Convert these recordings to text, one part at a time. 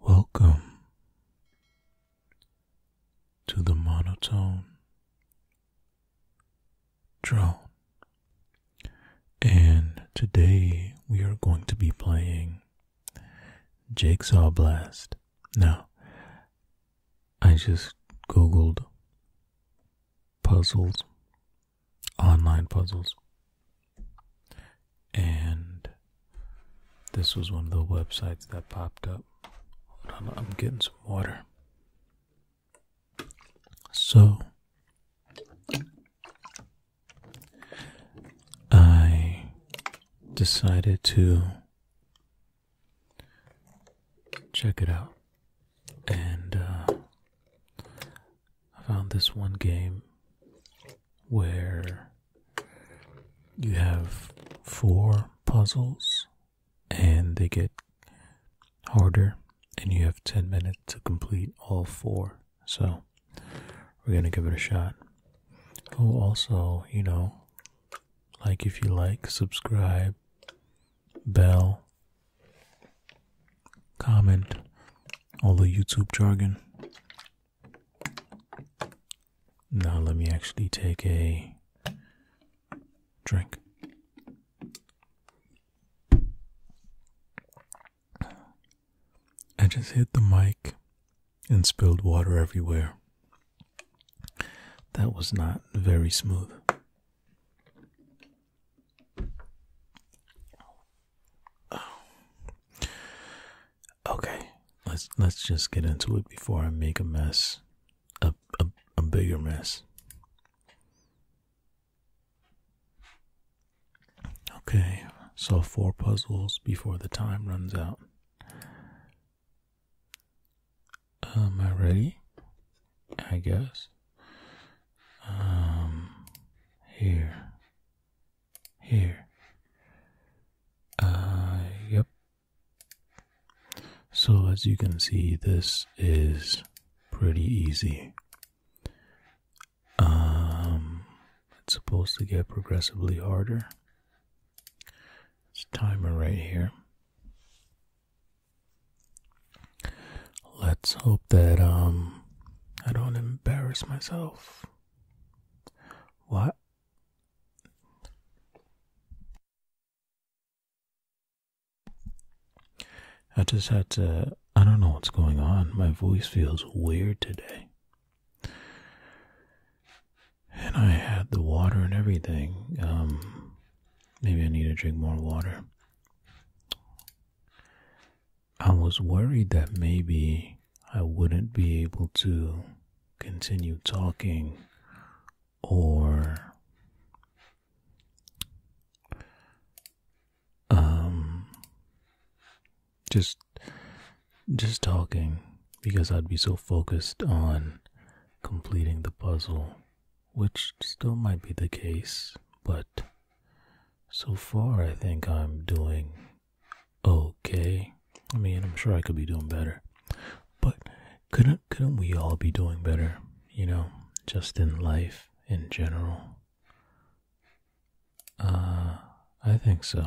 Welcome to the monotone drone, and today we are going to be playing Jigsaw Blast. Now, I just googled puzzles, online puzzles, and this was one of the websites that popped up. I'm getting some water. So, I decided to check it out. And uh, I found this one game where you have four puzzles and they get harder, and you have 10 minutes to complete all four. So we're going to give it a shot. Oh, also, you know, like if you like, subscribe, bell, comment, all the YouTube jargon. Now let me actually take a drink. I just hit the mic and spilled water everywhere. That was not very smooth. Okay, let's let's just get into it before I make a mess, a a, a bigger mess. Okay, solve four puzzles before the time runs out. Am um, I ready? I guess. Um, here. Here. Uh, yep. So, as you can see, this is pretty easy. Um, it's supposed to get progressively harder this timer right here. Let's hope that um I don't embarrass myself. What? I just had to I don't know what's going on. My voice feels weird today and I had the water and everything. Um, maybe I need to drink more water. I was worried that maybe I wouldn't be able to continue talking or um, just just talking because I'd be so focused on completing the puzzle, which still might be the case, but so far I think I'm doing okay. I mean, I'm sure I could be doing better, but couldn't couldn't we all be doing better? You know, just in life in general. Uh, I think so.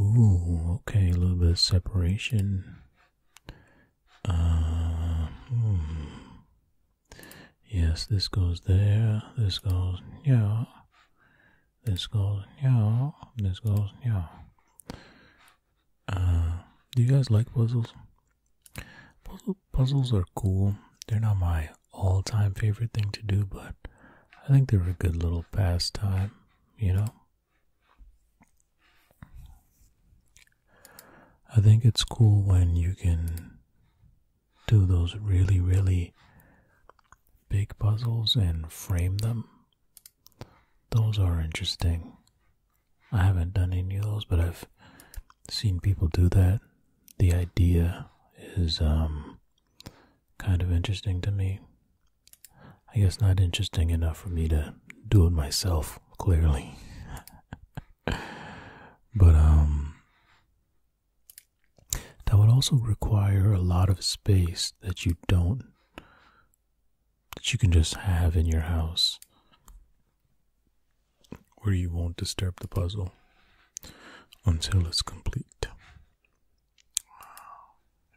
Ooh, okay, a little bit of separation. Uh, hmm. Yes, this goes there. This goes, yeah. This goes, yeah. This goes, yeah. Uh, do you guys like puzzles? puzzles are cool. They're not my all time favorite thing to do, but I think they are a good little pastime, you know? I think it's cool when you can do those really, really big puzzles and frame them. Those are interesting. I haven't done any of those, but I've seen people do that. The idea is um, kind of interesting to me. I guess not interesting enough for me to do it myself, clearly. but, um, that would also require a lot of space that you don't, that you can just have in your house where you won't disturb the puzzle until it's complete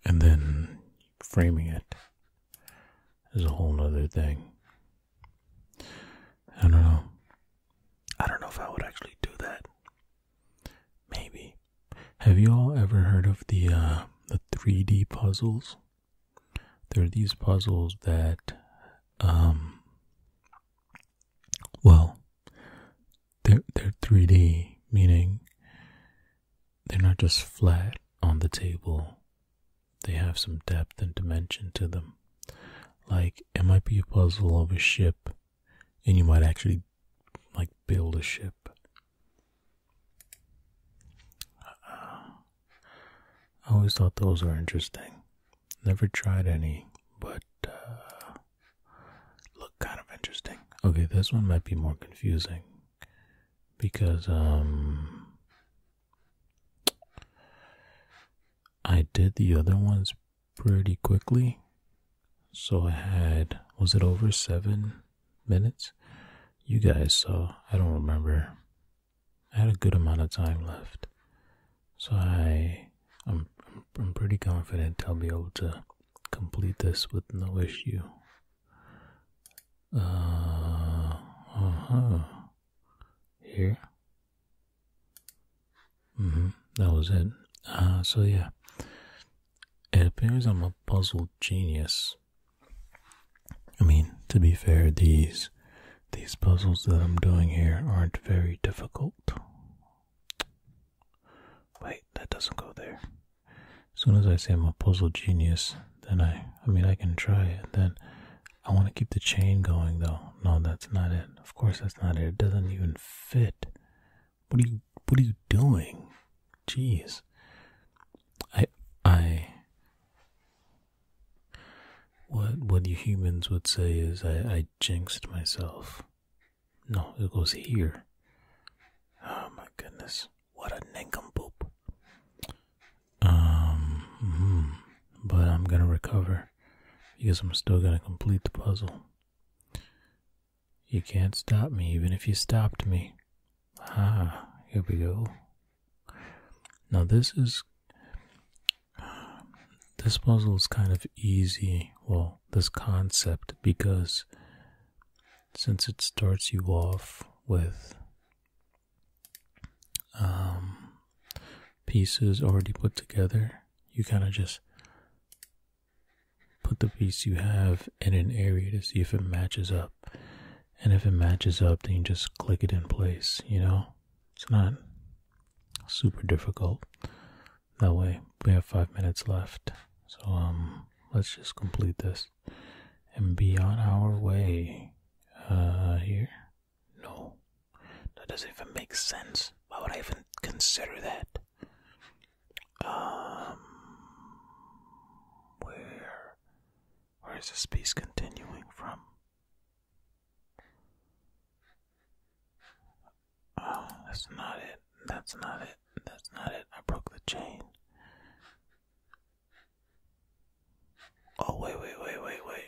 and then framing it is a whole other thing. I don't know. I don't know if I would actually do that. Maybe. Have you all ever heard of the uh, the 3D puzzles? There are these puzzles that, um, well, they're, they're 3D, meaning they're not just flat on the table. They have some depth and dimension to them. Like, it might be a puzzle of a ship, and you might actually, like, build a ship. I always thought those were interesting. Never tried any, but uh, look kind of interesting. Okay, this one might be more confusing because um I did the other ones pretty quickly. So I had was it over 7 minutes? You guys saw. I don't remember. I had a good amount of time left. So I I'm, I'm, pretty confident I'll be able to complete this with no issue. Uh, huh Here. hmm That was it. Uh, so yeah. It appears I'm a puzzle genius. I mean, to be fair, these these puzzles that I'm doing here aren't very difficult. Wait, that doesn't go there. As soon as I say I'm a puzzle genius, then I, I mean, I can try it. Then I want to keep the chain going, though. No, that's not it. Of course, that's not it. It doesn't even fit. What are you, what are you doing? Jeez. I, I, what, what you humans would say is I, I jinxed myself. No, it goes here. Oh my goodness. What a nincompoop. Um, hmm. but I'm gonna recover because I'm still gonna complete the puzzle. You can't stop me even if you stopped me. Ah, here we go. Now this is this puzzle is kind of easy. Well, this concept because since it starts you off with um, pieces already put together, you kind of just put the piece you have in an area to see if it matches up. And if it matches up, then you just click it in place, you know? It's not super difficult. That way, we have five minutes left. So, um, let's just complete this and be on our way. Uh, here? No. That doesn't even make sense. Why would I even consider that? Um, where? Where is this piece continuing from? Oh, that's not it. That's not it. That's not it. I broke the chain. Oh, wait, wait, wait, wait, wait.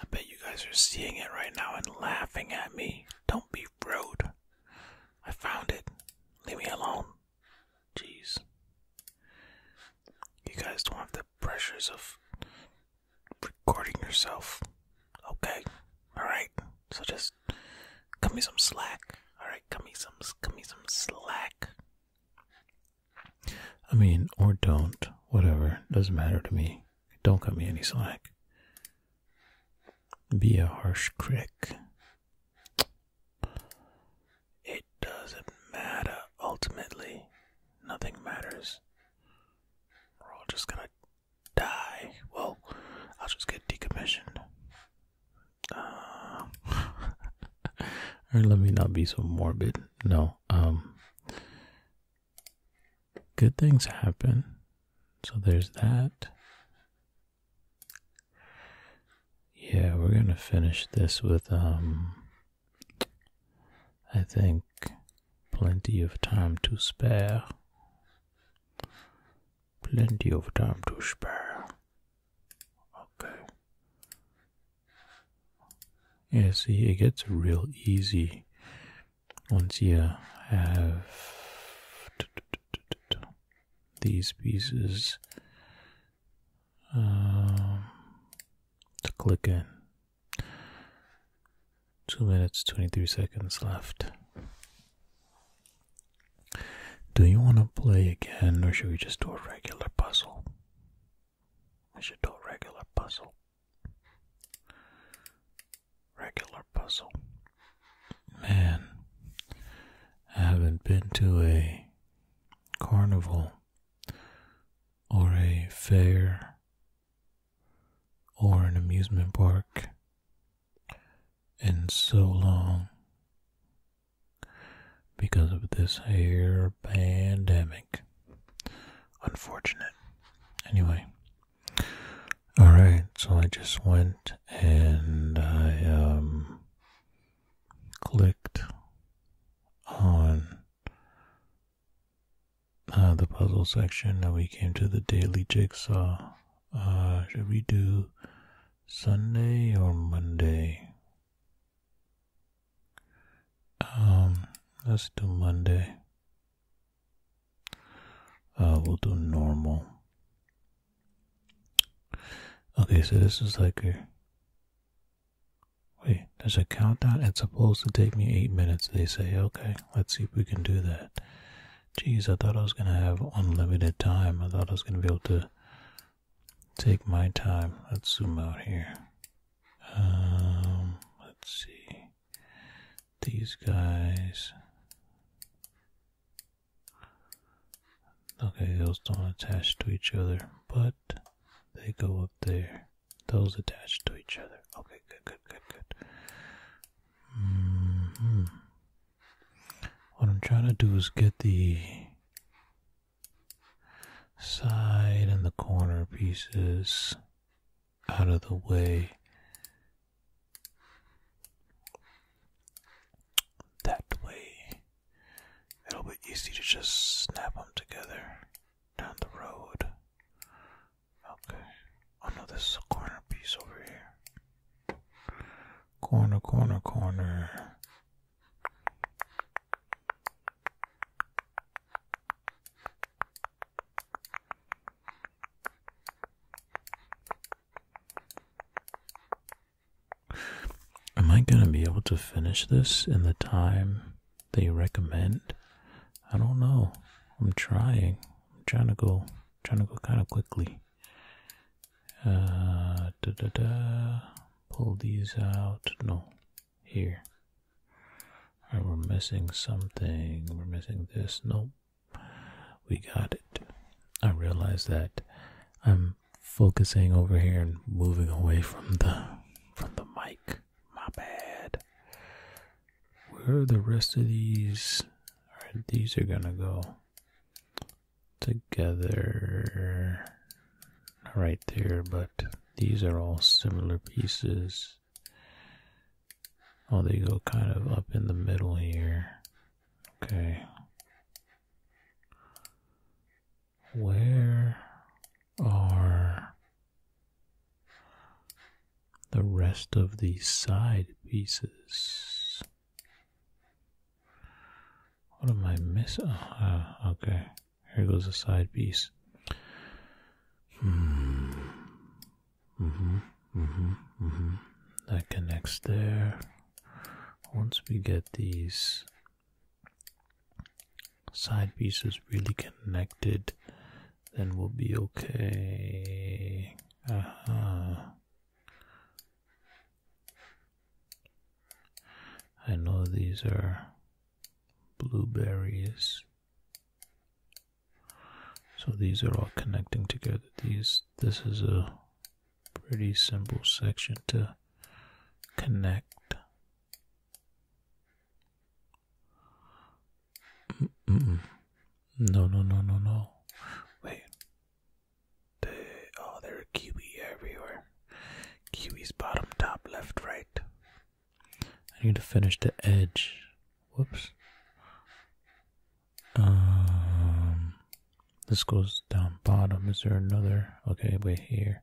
I bet you guys are seeing it right now and laughing at me. Don't be rude. I found it. Leave me alone. Jeez. You guys don't have the pressures of recording yourself. Okay. Alright. So just cut me some slack. Alright, cut me some cut me some slack. I mean, or don't. Whatever. Doesn't matter to me. Don't cut me any slack. Be a harsh critic. It doesn't matter ultimately. Nothing matters. We're all just gonna die. Well, I'll just get decommissioned. Um, let me not be so morbid. No. Um. Good things happen. So there's that. Yeah, we're gonna finish this with um. I think plenty of time to spare. Plenty of time to spare. Okay. Yeah, see, it gets real easy once you have these pieces um, to click in. Two minutes, 23 seconds left. Do you want to play again or should we just do a regular puzzle? We should do a regular puzzle. Regular puzzle. Man, I haven't been to a carnival or a fair or an amusement park and so long because of this hair pandemic. Unfortunate. Anyway. Alright, so I just went and I um clicked on uh, the puzzle section. Now we came to the daily jigsaw. Uh, should we do Sunday or Monday? Um, let's do Monday. Uh, we'll do normal. Okay, so this is like a. Wait, there's a countdown. It's supposed to take me eight minutes, they say. Okay, let's see if we can do that. Geez, I thought I was going to have unlimited time. I thought I was going to be able to take my time. Let's zoom out here. Um, let's see. These guys. Okay, those don't attach to each other, but they go up there. Those attach to each other. Okay, good, good, good, good. Mm-hmm. What I'm trying to do is get the side and the corner pieces out of the way. That way, it'll be easy to just snap them together down the road. Okay. Oh no, this is a corner piece over here. Corner, corner, corner. Am I going to be able to finish this in the time they recommend? I don't know. I'm trying. I'm trying to go trying to go kind of quickly. Uh, da da da. Pull these out. No, here. All right, we're missing something. We're missing this. Nope. We got it. I realize that I'm focusing over here and moving away from the from the mic. My bad. Where are the rest of these? Alright, these are gonna go together right there, but these are all similar pieces. Oh, they go kind of up in the middle here. Okay. Where are the rest of these side pieces. What am I missing? Oh, uh, uh, okay, here goes a side piece. mm Mm-hmm. Mm-hmm. That connects there. Once we get these side pieces really connected, then we'll be okay. Uh-huh. I know these are blueberries. So these are all connecting together. These this is a pretty simple section to connect. No, no, no, no, no. Wait. oh, there are kiwi everywhere. Kiwi's bottom, top, left, right. I need to finish the edge. Whoops. Um, this goes down bottom. Is there another? Okay, wait here.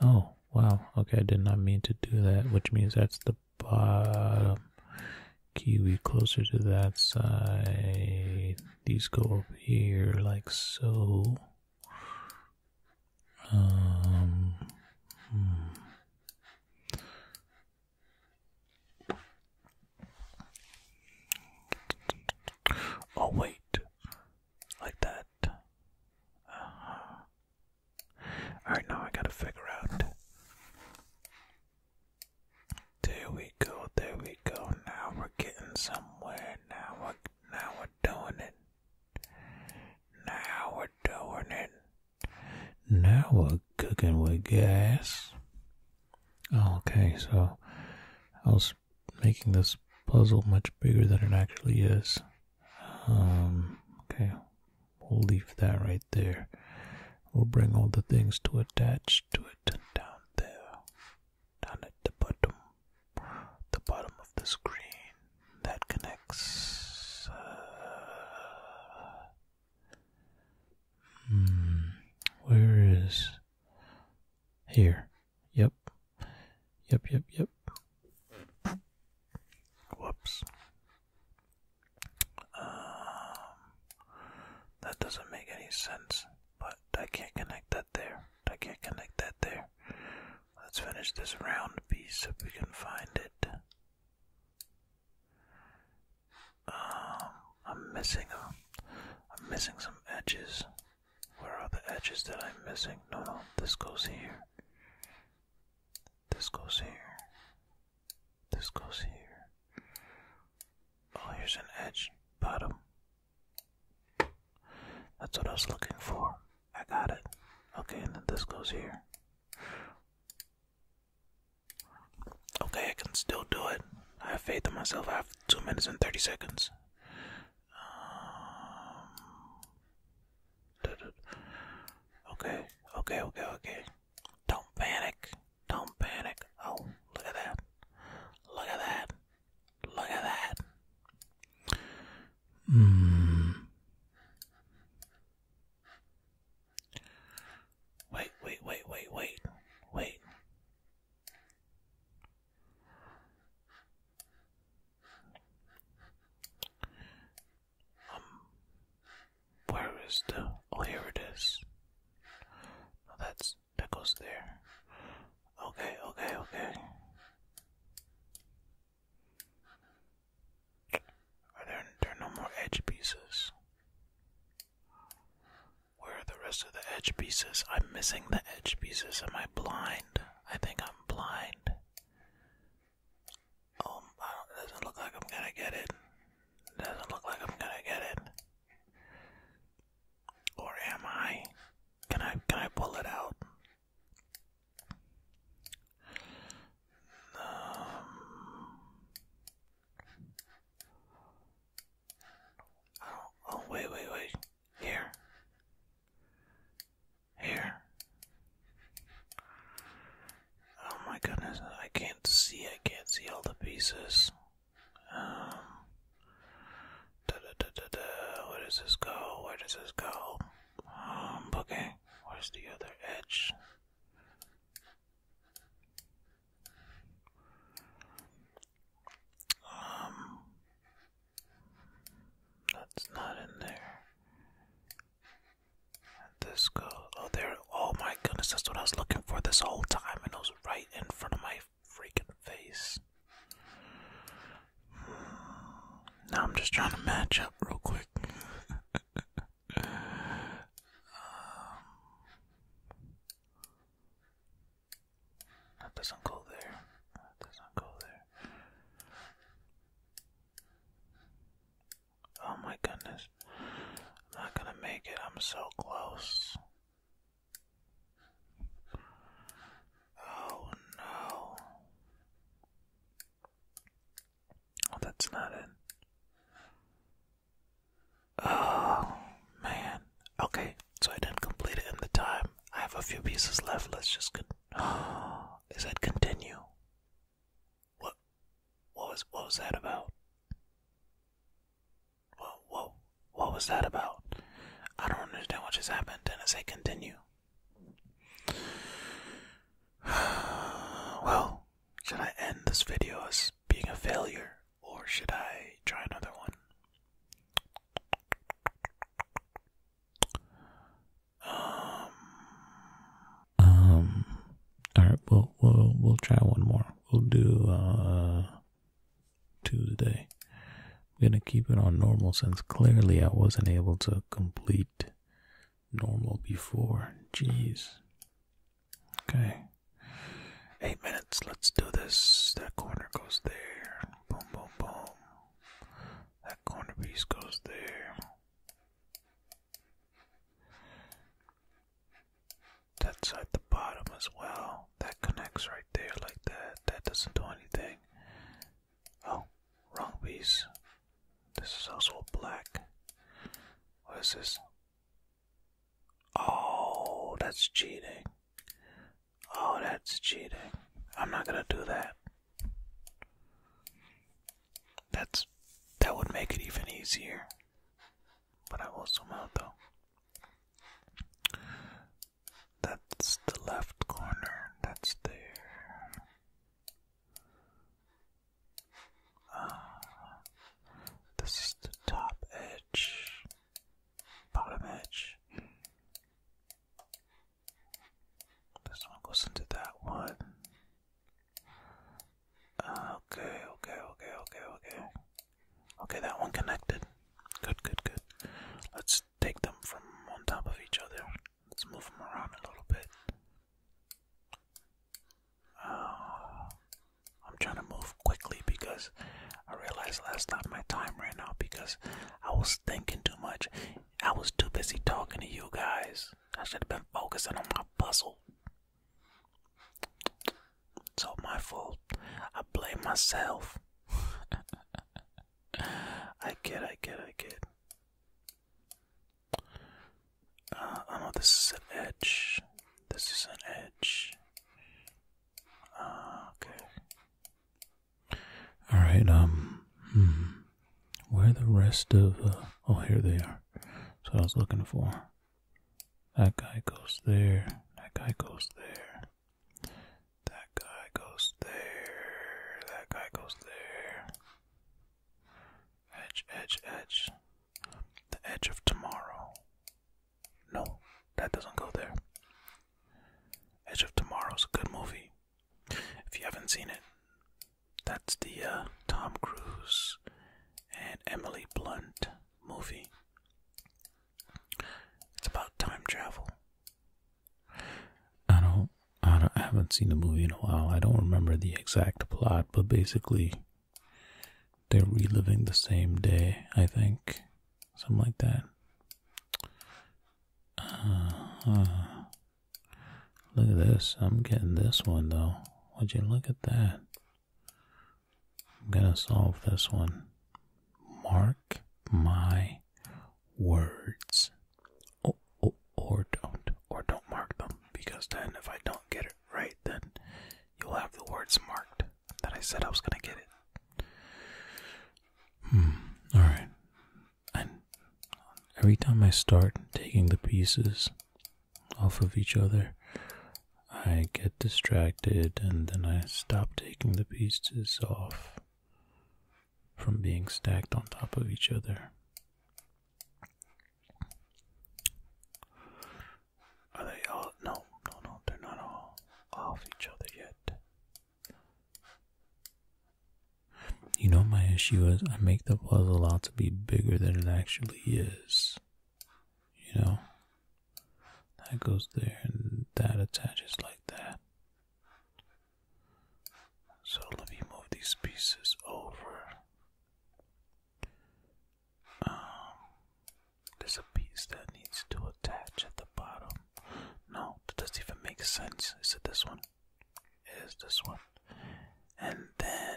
Oh, wow. Okay, I did not mean to do that, which means that's the bottom. Kiwi closer to that side. These go up here like so. Um, hmm. Oh, wait. Like that. Uh-huh. Alright, now I gotta figure out there we go, there we go. Now we're getting somewhere. Now we're now we're doing it. Now we're doing it. Now we're cooking with gas. Okay, so I was making this puzzle much bigger than it actually is. Um, okay, we'll leave that right there. We'll bring all the things to attach to it down there, down at the bottom, the bottom of the screen that connects. Uh, hmm, where is here? Yep, yep, yep, yep. Whoops. Um, that doesn't make any sense, but I can't connect that there. I can't connect that there. Let's finish this round piece if we can find it. Um, I'm missing a, uh, I'm missing some edges. Where are the edges that I'm missing? No, no, this goes here. This goes here. This goes here. Oh, here's an edge. Bottom. That's what I was looking for. I got it. Okay, and then this goes here. Okay, I can still do it. I have faith in myself. I have 2 minutes and 30 seconds. Um, okay, okay, okay, okay. Don't panic. Don't panic. Oh, look at that. Look at that. Look at that. Mm. Wait, wait, wait, wait, wait, wait. Um, where is the? Oh, here it is. Oh, that's that goes there. Okay, okay, okay. Are there there no more edge pieces? Where are the rest of the edge pieces? I'm missing the edge pieces. Am I blind? I think I'm blind. Um, doesn't look like I'm gonna get it. Doesn't look like I'm gonna get it. Or am I? Can I can I pull it out? Um, oh, oh wait, wait, wait. Here. Here. Oh my goodness, I can't see, I can't see all the pieces. Um, da da da da da, where does this go? Where does this go? Um, okay, where's the other edge? Um, that's not in there. This girl, oh there, oh my goodness, that's what I was looking for this whole time, and it was right in front of my freaking face. Now I'm just trying to match up real quick. Um, that doesn't go there. That doesn't go there. Oh my goodness. I'm not gonna make it. I'm so close. Oh no. Oh, that's not it. Oh man. Okay, so I didn't complete it in the time. I have a few pieces left. Let's just. Con is that continue? What? What was? What was that about? What? What? What was that about? I don't understand what just happened. And I say continue. well, should I end this video as being a failure, or should I try another one? Um, um, all right, we'll we'll we'll try one more. We'll do uh today. I'm gonna keep it on normal since clearly I wasn't able to complete normal before. Jeez. Okay. Eight minutes. Let's do this. That corner goes there. Boom, boom, boom. That corner piece goes there. That's at the bottom as well. That connects right there like that. That doesn't do anything. Oh, wrong piece. This is also black. What is this? Oh, that's cheating. Oh, that's cheating. I'm not gonna do that. That's that would make it even easier. But I will zoom out though. That's the left corner. That's there. Uh, this is the top edge, bottom edge. This one goes into that one. Okay, okay, okay, okay, okay. Okay, that one connected. Good, good, good. Let's take them from on top of each other. Let's move them around a little bit. Uh, I'm trying to move quickly because I realized last time my time ran out because I was thinking too much. I was too busy talking to you guys. I should have been focusing on my puzzle. It's all my fault. I blame myself. I get, I get, I get. Uh, oh this is an edge. This is an edge. Uh, okay. Alright, um, hmm. Where the rest of. Uh, oh, here they are. That's what I was looking for. That guy goes there. That guy goes there. That guy goes there. That guy goes there. Edge, edge, edge. The edge of tomorrow. No, that doesn't go there. Edge of Tomorrow's a good movie. If you haven't seen it, that's the uh, Tom Cruise and Emily Blunt movie. It's about time travel. I don't, I don't, haven't seen the movie in a while. I don't remember the exact plot, but basically, they're reliving the same day. I think, something like that. Uh, look at this. I'm getting this one though. Would you look at that? I'm going to solve this one. Mark my words. Oh, oh, or don't. Or don't mark them. Because then, if I don't get it right, then you'll have the words marked that I said I was going to get it. Hmm. Alright. every time I start taking the pieces off of each other. I get distracted and then I stop taking the pieces off from being stacked on top of each other. Are they all? No, no, no, they're not all off each other yet. You know, my issue is I make the puzzle out to be bigger than it actually is you know, that goes there and that attaches like that. So let me move these pieces over. Um, there's a piece that needs to attach at the bottom. No, that doesn't even make sense. Is it this one? It is this one. And then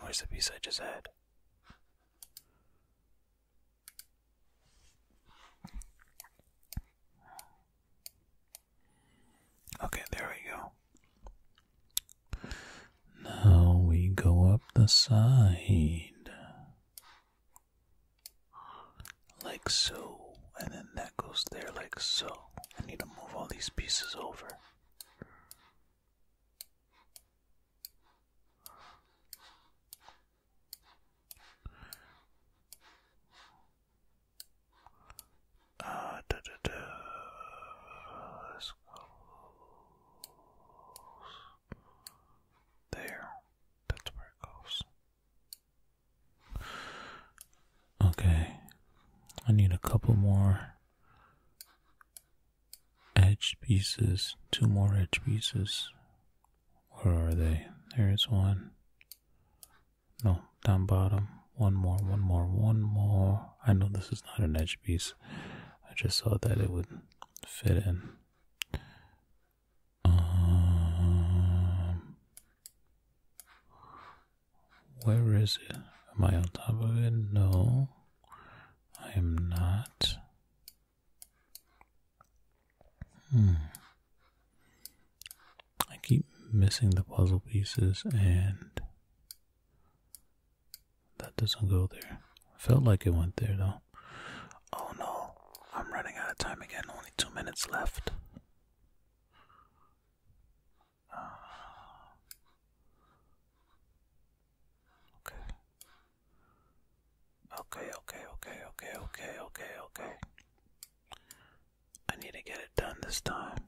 where's the piece I just had? Okay, there we go. Now we go up the side. Like so. And then that goes there like so. I need to move all these pieces over. Ah, there. That's where it goes. Okay, I need a couple more edge pieces, two more edge pieces. Where are they? There's one. No, down bottom. One more, one more, one more. I know this is not an edge piece. I just thought that it would fit in. Um, where is it? Am I on top of it? No. I am not. Hmm. I keep missing the puzzle pieces and that doesn't go there. Felt like it went there though. Oh no, I'm running out of time again. Only two minutes left. Okay, okay, okay, okay, okay, okay, okay. I need to get it done this time.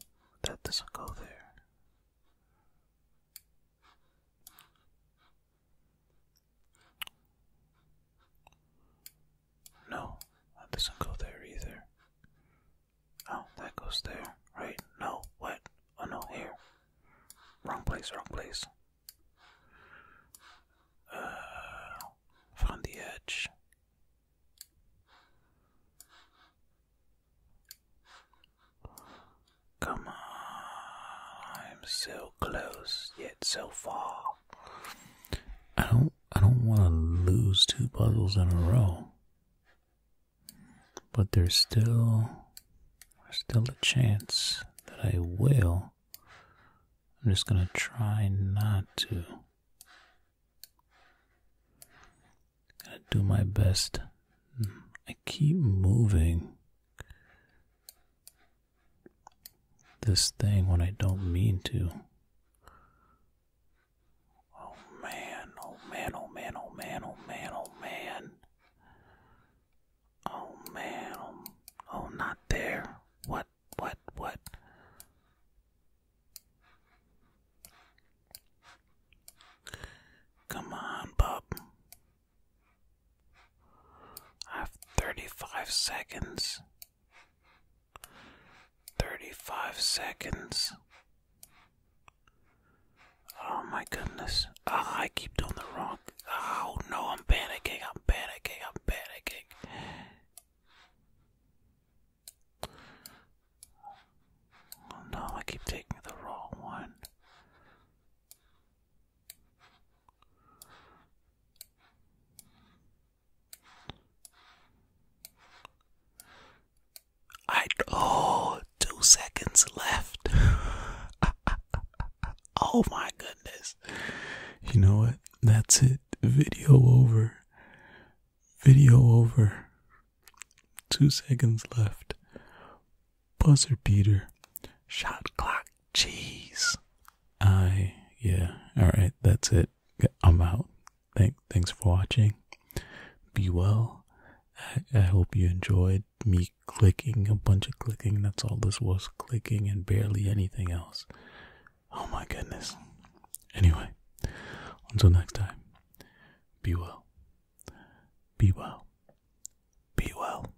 That doesn't go there. No, that doesn't go there either. Oh, that goes there, right? No, what? Oh no, here. Wrong place, wrong place. Uh, find the edge. Come on, I'm so close yet so far. I don't, I don't want to lose two puzzles in a row. But there's still there's still a chance that I will. I'm just gonna try not to. Gonna do my best. I keep moving this thing when I don't mean to. Oh man, oh man, oh man, oh man, oh man, oh man. Oh man, oh, oh not there. What, what, what? Come on, pup. I have 35 seconds. 35 seconds. Oh my goodness. Ah, I keep doing the wrong. Oh no, I'm panicking. I'm panicking. I'm panicking. Oh no, I keep taking the wrong one. I oh two seconds left. oh my goodness. You know what? That's it. Video over. Video over. Two seconds left. Buzzer beater. Shot clock. Jeez. I yeah. Alright, that's it. I'm out. Thank thanks for watching. Be well I hope you enjoyed me clicking, a bunch of clicking. That's all this was clicking and barely anything else. Oh my goodness. Anyway, until next time, be well. Be well. Be well.